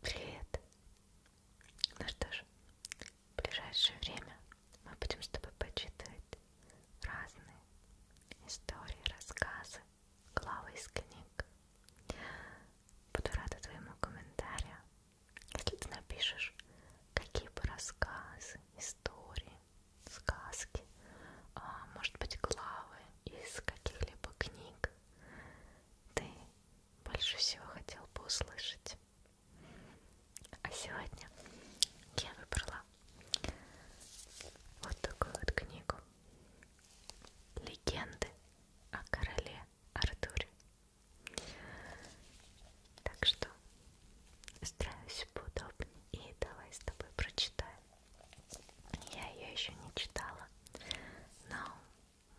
Привет! Ну что ж, в ближайшее время мы будем с тобой почитывать разные истории, рассказы, главы из книг. Буду рада твоему комментарию, если ты напишешь, какие бы рассказы, истории, сказки, а, может быть главы из каких-либо книг ты больше всего хотел бы услышать. А сегодня я выбрала вот такую вот книгу «Легенды о короле Артуре». Так что стараюсь поудобнее и давай с тобой прочитаем. Я ее еще не читала, но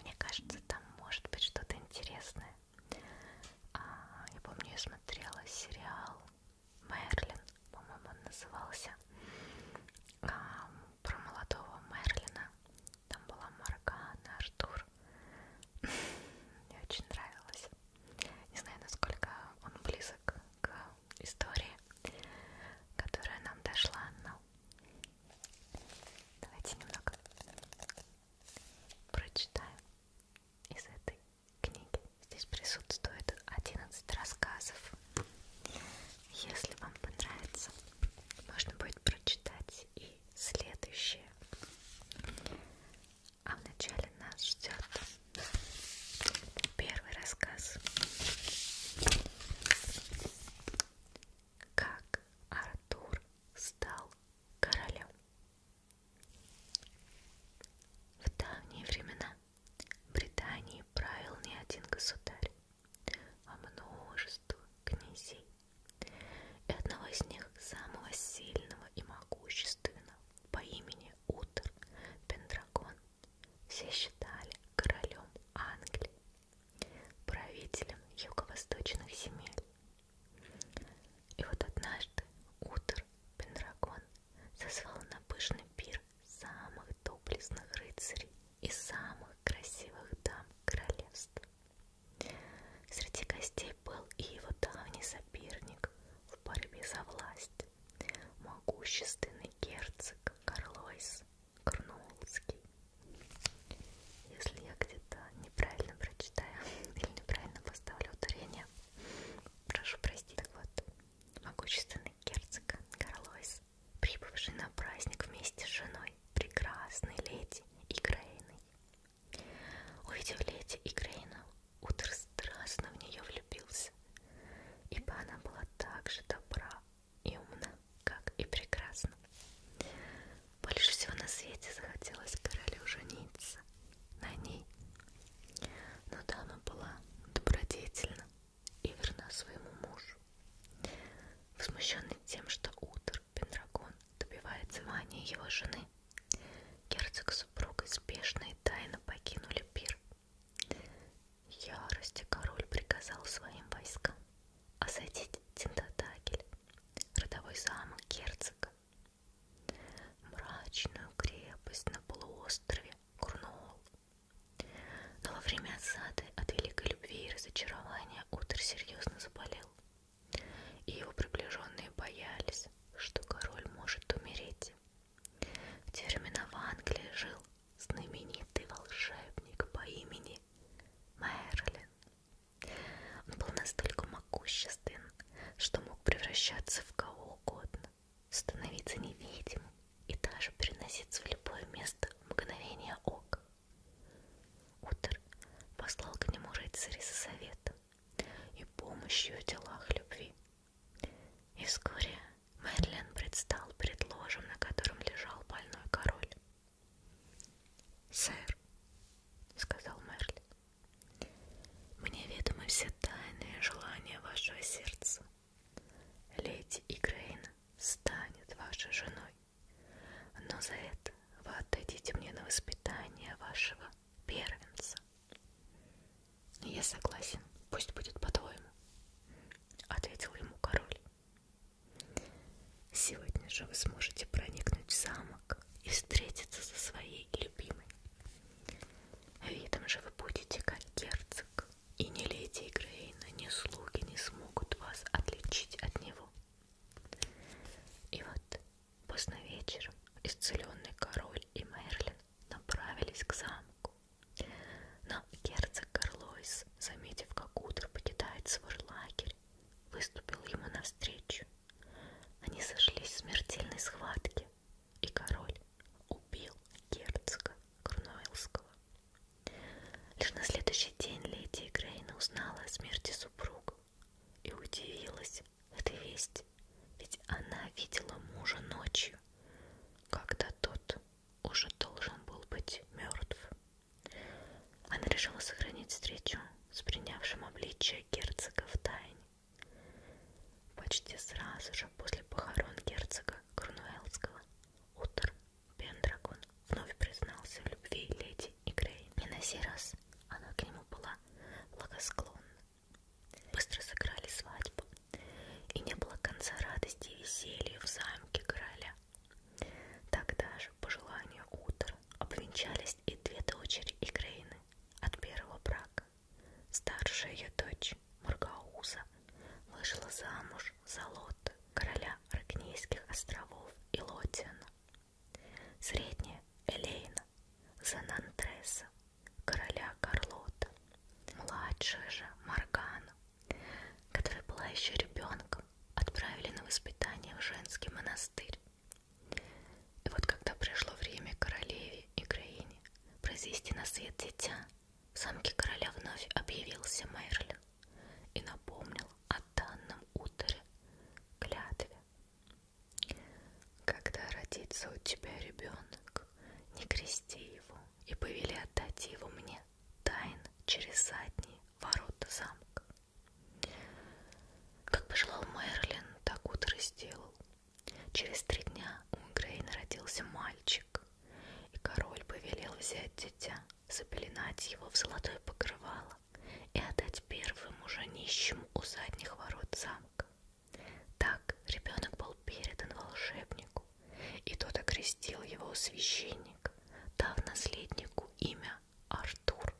мне кажется, там может быть что-то интересное. А, я помню, я смотрела сериал Мерлин, по-моему, он назывался. А, про молодого Мерлина. Там была Маргана, Артур. Мне очень нравилось. Не знаю, насколько он близок к истории, которая нам дошла, но Давайте немного прочитаем из этой книги. Здесь присутствует 11 рассказов. Если вам понравится, можно будет прочитать и следующее. А вначале нас ждет первый рассказ. Как Артур стал королем. В давние времена Британии правил не один государь, а множество князей. И одного из них, самого сильного и могущественного, по имени Утер Пендрагон, все считали королем Англии правителем юго-восточных земель. И вот однажды утр Пендрагон созвал на пышный пир самых доблестных рыцарей и самых красивых дам королевства. Среди гостей был и его давний соперник в борьбе за власть, могущественный герцог Карлойс, Корнуолский. Если я где-то неправильно прочитаю или неправильно поставлю ударение, прошу простить. Так вот, могущественный герцог Карлойс, прибывший на праздник вместе с женой, прекрасной леди Игрейной. Увидев леди Игрейну, Утер страстно в нее влюбился, ибо она была так же добра, и умна, как и прекрасна. Больше всего на свете захотелось королю жениться на ней. Но дама была добродетельна и верна своему мужу. Возмущенный тем, что утр Пендрагон добивается мании его жены, герцог с супругой спешно и тайно покинули пир Ярости король приказал своим войскам осадить Тентатакель, родовой замок герцога, мрачную крепость на полуострове Курнуол. Но во время осады от великой любви и разочарования Утр серьезно заболел, и его приближенные боялись, что король может умереть. В те времена в Англии жил знаменитый волшебник по имени Мерлин. Он был настолько могуществен, что мог превращаться в кого угодно, становиться невидимым и даже переноситься в любое место в мгновение ока. Утер послал к нему рыцаря со советом и помощью в делах любви, и вскоре Мэдлин предстал перед ложем, на котором лежал больной король. «Сэр», — сказал Мерлин, — «мне ведомы все тайные желания вашего сердца. Леди Игрейн станет вашей женой, но за это вы отдадите мне на воспитание вашего первенца. Я согласен, пусть будет по-твоему, ответил ему король. Сегодня же вы сможете проникнуть в замок и встретиться со своей любимой. Видом же вы будете как герцог, и ни леди Грейна, ни слуги не смогут вас отличить от него. И вот поздно вечером исцеленный король и Мерлин направились к замку. Но герцог Карлойс, заметив, как утро покидает свой лагерь, выступил ему навстречу. Они сошлись в смертельной схватке, и король убил герцога Корнуэльского. Лишь на следующий день леди Грейна узнала о смерти супруга и удивилась этой вести, ведь она видела мужа ночью, когда тот уже должен был быть мертв. Она решила сохранить встречу с принявшим обличие герцога в тайне. Почти сразу же после похорон герцога Крунуэлского утр Пендрагон вновь признался в любви леди Игрей. И на сей раз она к нему была благосклонна. Быстро сыграли свадьбу, и не было конца радости и веселья в замке короля. Тогда же, по желанию утра, обвенчались и две дочери Игрейны от первого брака. Старшая ее дочь, Маргауза, вышла замуж за Лота, короля Ракнейских островов и Лотиана. Средняя Элейна за Нантреса, короля Карлота. Младшую же Маргану, которая была еще ребенком, отправили на воспитание в женский монастырь. И вот когда пришло время королеве и краине произвести на свет дитя, в самке короля вновь объявился Мерлин и напомнил о данном ударе клятве. Когда родится у тебя ребенок, не крести его, и повели отдать его мне, тайн через задние ворота замка. Как пожелал Мерлин, так утро сделал. Через три дня у Грейна родился мальчик, и король повелел взять дитя, запеленать его в золотое покрывало и отдать первому же нищему у задних ворот замка. Так ребенок был передан волшебнику, и тот окрестил его священник, дав наследнику имя Артур.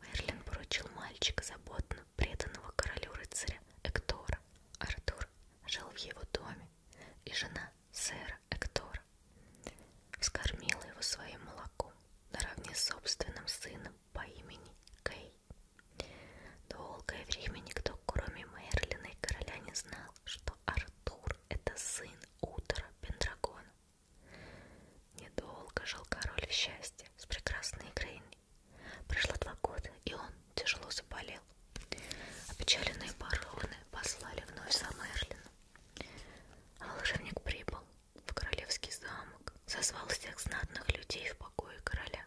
Мерлин поручил мальчика заботно преданного королю-рыцаря Эктора. Артур жил в его доме, и жена сэра Эктора вскормила его своим молоком наравне с собственным сыном по имени Кей. Долгое время никто, кроме Мерлина и короля, не знал, что Артур — это сын Утра Пендрагона. Недолго жил король в счастье с прекрасной Грейни. Прошло два года, и он тяжело заболел. Опечаленные бароны послали вновь за Мерлином. А волшебник прибыл в королевский замок, созвал всех знатных людей в покое короля.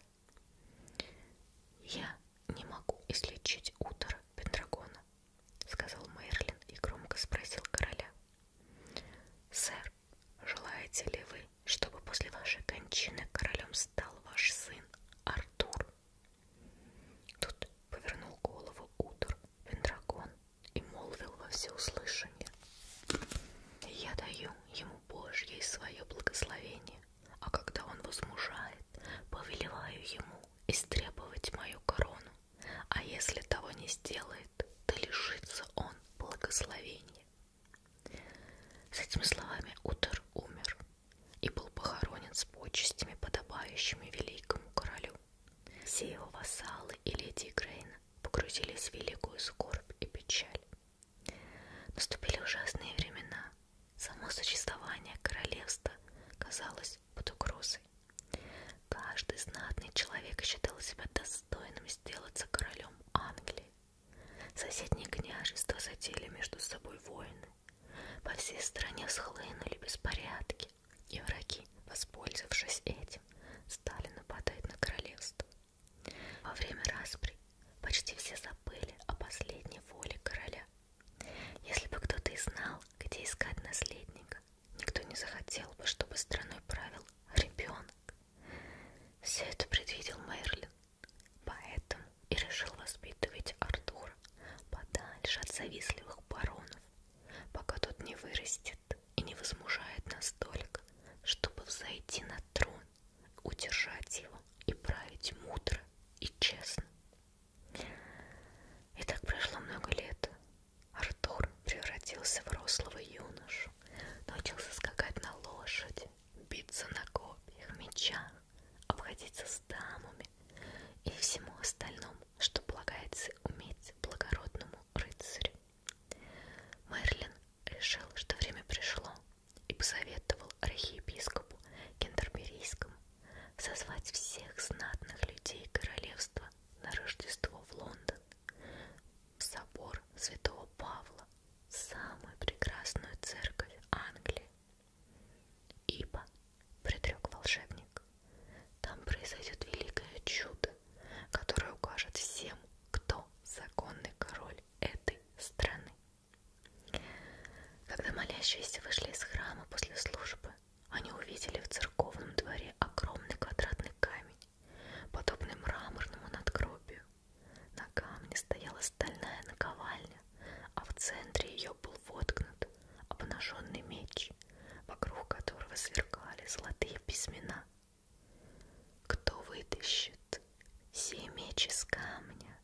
«Я не могу излечить утро Пендрагона», — сказал Мерлин и громко спросил короля. «Сэр, желаете ли вы, чтобы после вашей кончины королем стал ваш сын Артур?» Тут повернул голову Утр Пендрагон и молвил во всеуслышание. «Я даю ему Божье и свое благословение, а когда он возмужает, повелеваю ему истребовать мою корону, а если того не сделает, то лишится он благословения. С этими словами Утер умер и был похоронен с почестями, подобающими великому королю. Все его вассалы и леди Грейна погрузились в великую скорбь и печаль. Наступили ужасные времена. Само существование королевства казалось под угрозой. Каждый знатный человек считал себя достойным сделаться королем Англии. Соседние княжества затели между собой войны. По всей стране схлынули беспорядки, и враги, воспользовавшись этим, стали нападать на королевство. Во время распри почти все забыли о последней воле короля. Если бы кто-то и знал, где искать наследника, никто не захотел бы, чтобы страной правил ребенок. Все это предвидел Мерлин, поэтому и решил воспитывать Артура подальше от завистливых баронов, пока тот не вырастет и не возмужает настолько, чтобы взойти на трон удержать его и править мудро и честно. И так прошло много лет. Артур превратился в рослого юношу, научился скакать на лошади, биться на копьях, мечах, обходиться с дамами и всему остальному, что полагается уметь благородному рыцарю. Мерлин решил, что время пришло, и посоветовал архиепископу Кентерберийскому созвать всех знатных людей королевства на Рождество в Лондон, в собор святого Павла, самую прекрасную церковь Англии. Ибо, предрек волшебник, там произойдет великое чудо, которое укажет всем, кто законный король король этой страны. Когда молящиеся вышли из храма после службы, они увидели в церковном дворе огромный квадратный камень, подобный мраморному надгробию. На камне стояла стальная наковальня, а в центре ее был воткнут обнаженный меч, вокруг которого сверкали золотые письмена, кто вытащит все меч из камня,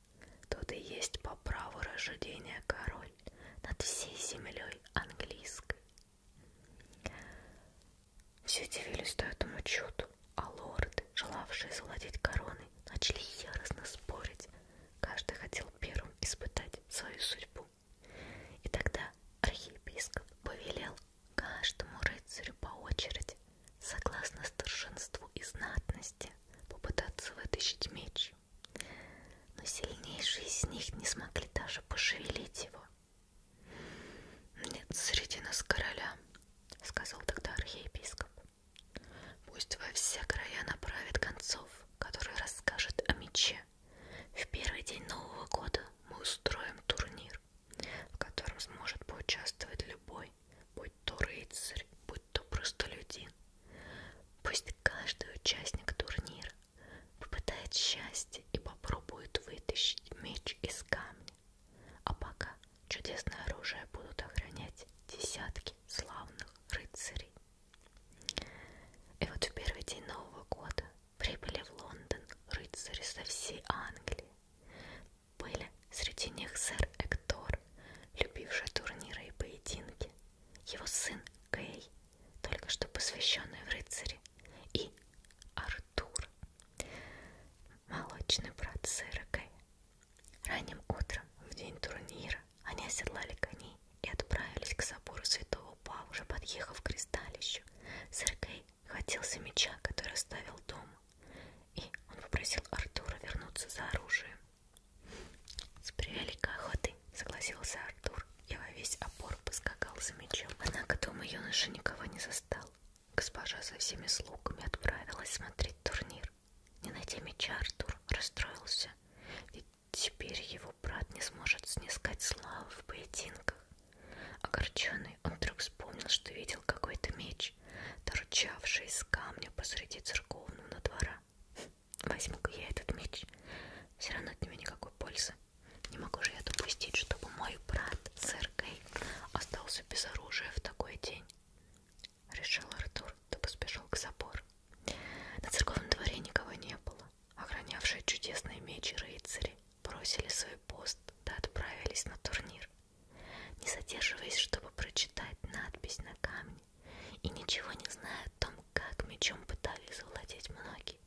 тот и есть по праву рождения король над всей землей английской. Все дивились до этому чуду, а лорды, желавшие завладеть короной, начали яростно спорить. Каждый хотел первым испытать свою судьбу. И тогда архиепископ повелел Каждому рыцарю по очереди, согласно старшинству и знатности, попытаться вытащить меч. Но сильнейшие из них не смогли даже пошевелить его. «Нет среди нас короля», — сказал тогда архиепископ. «Пусть во все края направит концов, который расскажет о мече. В первый день Нового года мы устроим турнир мир, в котором сможет поучаствовать любой, будь то рыцарь, будь то простолюдин. Пусть каждый участник турнира попытает счастье и попробует вытащить меч из камня. А пока чудесное оружие будут охранять десятки славных рыцарей. И вот в первый день Нового года Прибыли в Лондон рыцари со всей Англии. Были среди них сэр Эктор, любивший турниры и поединки, его сын Кей, только что посвященный в рыцари, и Артур, молочный брат сэра Кей. Ранним утром, в день турнира, они оседлали коней и отправились к собору святого Павла, уже подъехав к кристалищу. Сэр Кей хватился меча, который оставил дома, и он попросил Артура вернуться за оружием. С превеликой охотой согласился Артур и во весь опор поскакал за мечом. Однако дома юноша никого не застал. Госпожа со всеми слугами отправилась смотреть турнир. Не найдя меча, Артур расстроился, ведь теперь его брат не сможет снискать славу в поединках. Огорченный, он вдруг вспомнил, что видел какой-то меч, торчавший из камня посреди церковного двора. Возьму-ка я этот меч. Все равно от него никакой пользы. Не могу же я допустить, чтобы мой брат, сэр Кей, остался без оружия в такой день. Решил Артур, да поспешил к забору. На церковном дворе никого не было. Охранявшие чудесные мечи рыцари бросили свой пост да отправились на турнир, не задерживаясь, чтобы прочитать надпись на камне, и ничего не зная о том, как мечом пытались завладеть многие.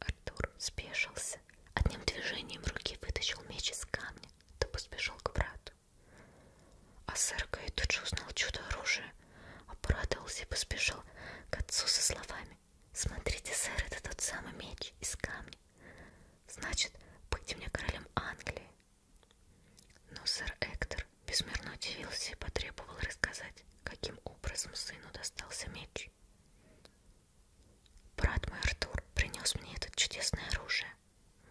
Артур спешился, одним движением руки вытащил меч из камня, да поспешил к брату. А сэр Кай тут же узнал чудо оружия, обрадовался и поспешил к отцу со словами глазами. Смотрите, сэр, это тот самый меч из камня. Значит, быть мне королем Англии. Но сэр Эктор безмерно удивился и потребовал рассказать, каким образом сыну достался меч. «Брат мой Артур принес мне это чудесное оружие»,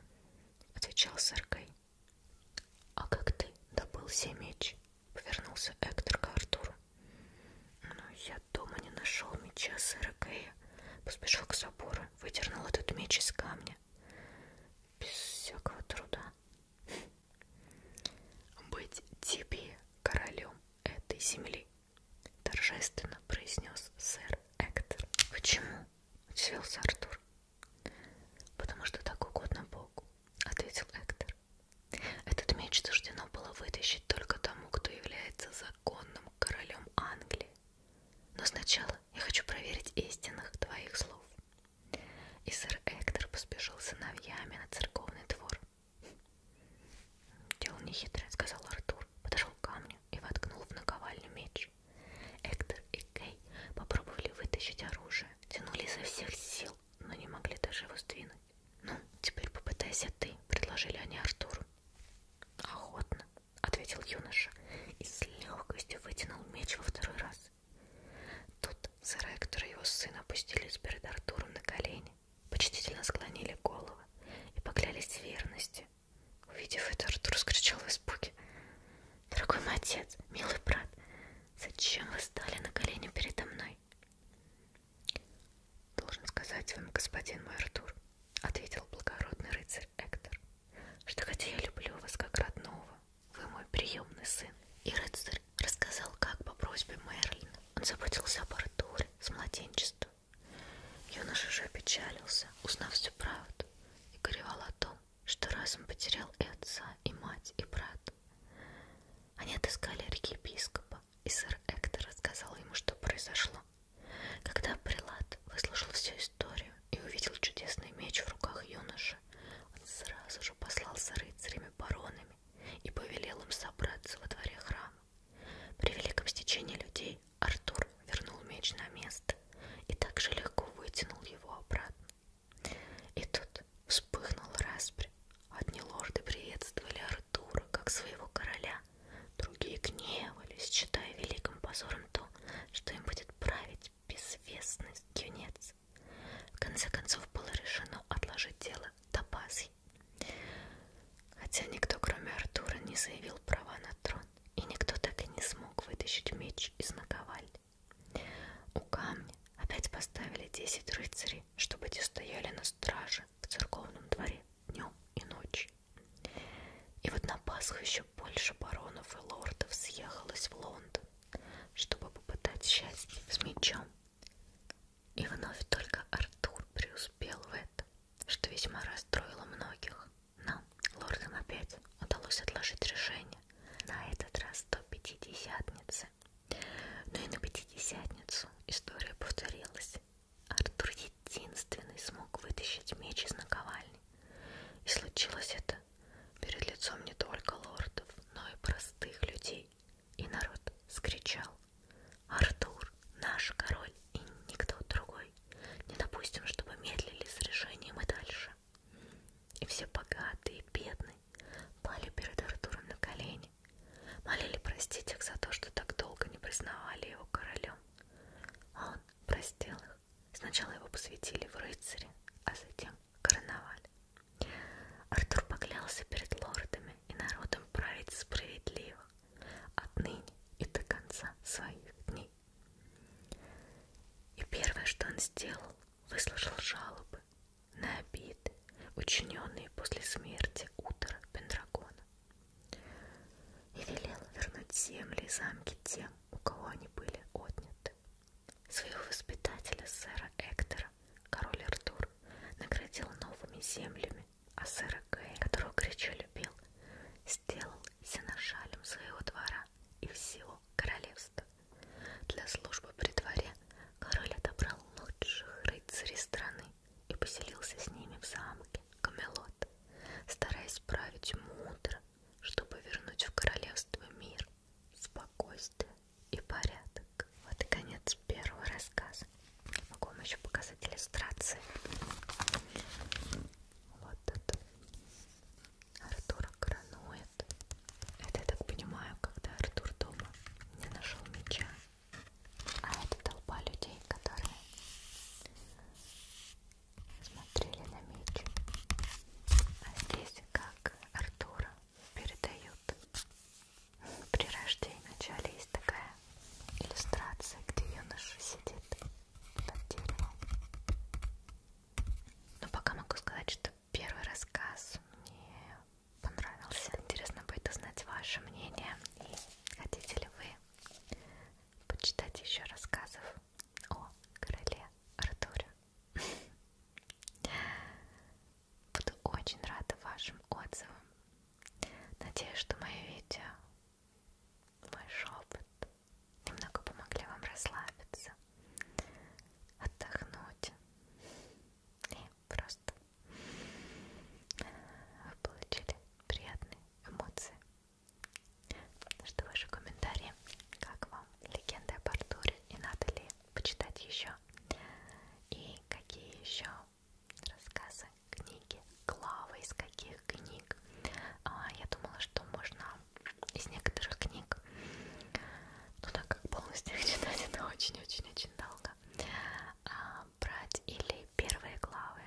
— отвечал сэр Кай. «А как ты добыл сей меч?» — повернулся Эктор к Артуру. Но я дома не нашел меча сэра Кэя. Поспешил к собору, выдернул этот меч из камня. Без всякого труда. Быть тебе королем этой земли, торжественно произнес сэр Эктор. Почему? Удивился Артур. Потому что так угодно Богу, ответил Эктор мир. Этот меч суждено было вытащить только тому, кто является законным королем Англии. Но сначала я хочу проверить истинных твоих слов. И сэр Эктор поспешил сыновьями на церковный двор. Дело нехитрое, сказал Артур, подошел к камню и воткнул в наковальню меч. Эктор и Кей попробовали вытащить оружие, тянули изо всех сил, но не могли даже его сдвинуть. Ну, теперь попытайся ты, предложили они Артуру. Охотно, ответил юноша и с легкостью вытянул меч во второй раз. Тут сэр Эктор и его сын опустились перед Артуром на колени, почтительно склонили головы и поклялись верности. Увидев это, Артур скричал в испуге. «Дорогой мой отец, милый брат, зачем вы стали на колени передо мной?» Должен сказать вам, господин мой Артур, ответил благородный рыцарь Эктор, что хотя я люблю вас как родного, вы мой приемный сын. И рыцарь рассказал, как по просьбе Мерлина он заботился об Артуре с младенчества. Юноша же опечалился, узнав всю правду, и горевал о том, что разом потерял и отца, и мать, и брата. Они отыскали архиепископа, и сэр Эктор рассказал ему, что произошло. Когда прилад выслушал всю историю и увидел чудесный меч в руках юноши, он сразу же послал за рыцарями-баронами и повелел им собраться во дворе храма. При великом стечении людей Артур вернул меч на место и также легко вытянул его обратно. И тут вспыхнул распри. Одни лорды приветствовали Артура как своего короля. Другие гневались, считая великим позором то, что им будет править безвестный юнец. В конце концов было решено отложить дело до Пасхи. Хотя никто, кроме Артура, не заявил права на трон, и никто так и не смог вытащить меч из наковальни. У камня Опять поставили десять рыцарей, чтобы те стояли на страже в церковном дворе днем и ночью. И вот на Пасху еще больше баронов и лордов съехалось в Лондон, чтобы попытать счастье с мечом. И вновь только Артур преуспел в этом, что весьма расстроило многих. Но лордам опять удалось отложить решение. На этот раз до пятидесятницы но ну и на пятидесятницу история повторилась. Артур единственный смог вытащить меч из наковальни. И случилось это перед лицом не только лордов, но и простых людей. И народ скричал «Артур, наш король и никто другой! Не допустим, чтобы медлили с решением и дальше!» И все богатые и бедные пали перед Артуром на колени Молили простить их за то, что так долго не признавали его королем. А он простил их. Сначала его посвятили в рыцаре, а затем короновали. Артур поклялся перед лордами и народом править справедливо, отныне и до конца своих дней. И первое, что он сделал, выслушал жалобы на обиды, учиненные после смерти утра Пендрагона, и велела вернуть земли и замки тем, у кого они были отняты. Своего воспитателя, сэра Эктора, король Артур, наградил новыми землями, а сэра Гэй, которого горячо любил, сделал сеношалем своего двора и всего королевства. Для службы при дворе король отобрал лучших рыцарей страны и поселился с ними в замке Камелот, стараясь править мудро, чтобы вернуть в королевство мир, спокойствие и порядок. Вот и конец первого рассказа. Могу вам еще показать иллюстрации. Вот это Артура Краноя играют. Это, я так понимаю, когда Артур дома не нашел меча. А это толпа людей, которые смотрели на меч. А здесь, как Артура передают при рождении. Вначале есть такая иллюстрация, где юноша сидит под деревом. Но пока могу сказать, что первый рассказ мне понравился. Интересно будет узнать ваше мнение. И хотите ли вы почитать еще рассказов о короле Артуре? Буду очень рада вашим отзывам. Надеюсь, что мое видео, мой шепот немного помогли вам расслабиться, отдохнуть. Просто вы получили приятные эмоции. Жду ваши комментарии. Как вам легенда об Артуре и надо ли почитать еще? И какие еще рассказы, книги, главы из каких книг? А, я думала, что можно из некоторых книг но ну так как полностью их читать это очень-очень-очень долго, а, брать или первые главы,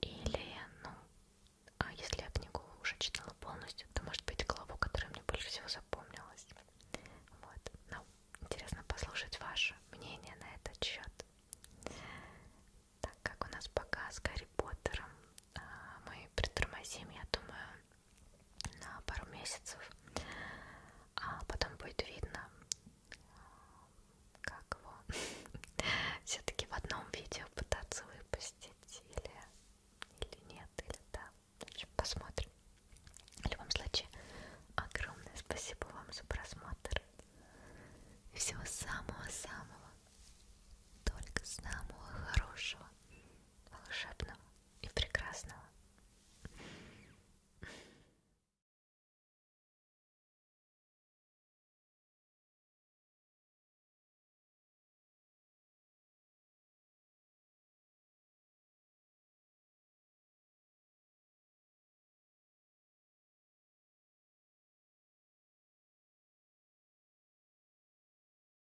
или, ну, а если я книгу уже читала полностью, то может быть главу, которая мне больше всего запомнилась. Вот, ну, интересно послушать ваше мнение на этот счет. Так как у нас пока с Гарри Поттером а, мы притормозим, я думаю, на пару месяцев, а потом будет видно, как его все-таки в одном видео пытаться выпустить или, или нет, или да. В общем, посмотрим. В любом случае, огромное спасибо вам за просмотр. И всего самого-самого, только самого хорошего волшебного и прекрасного.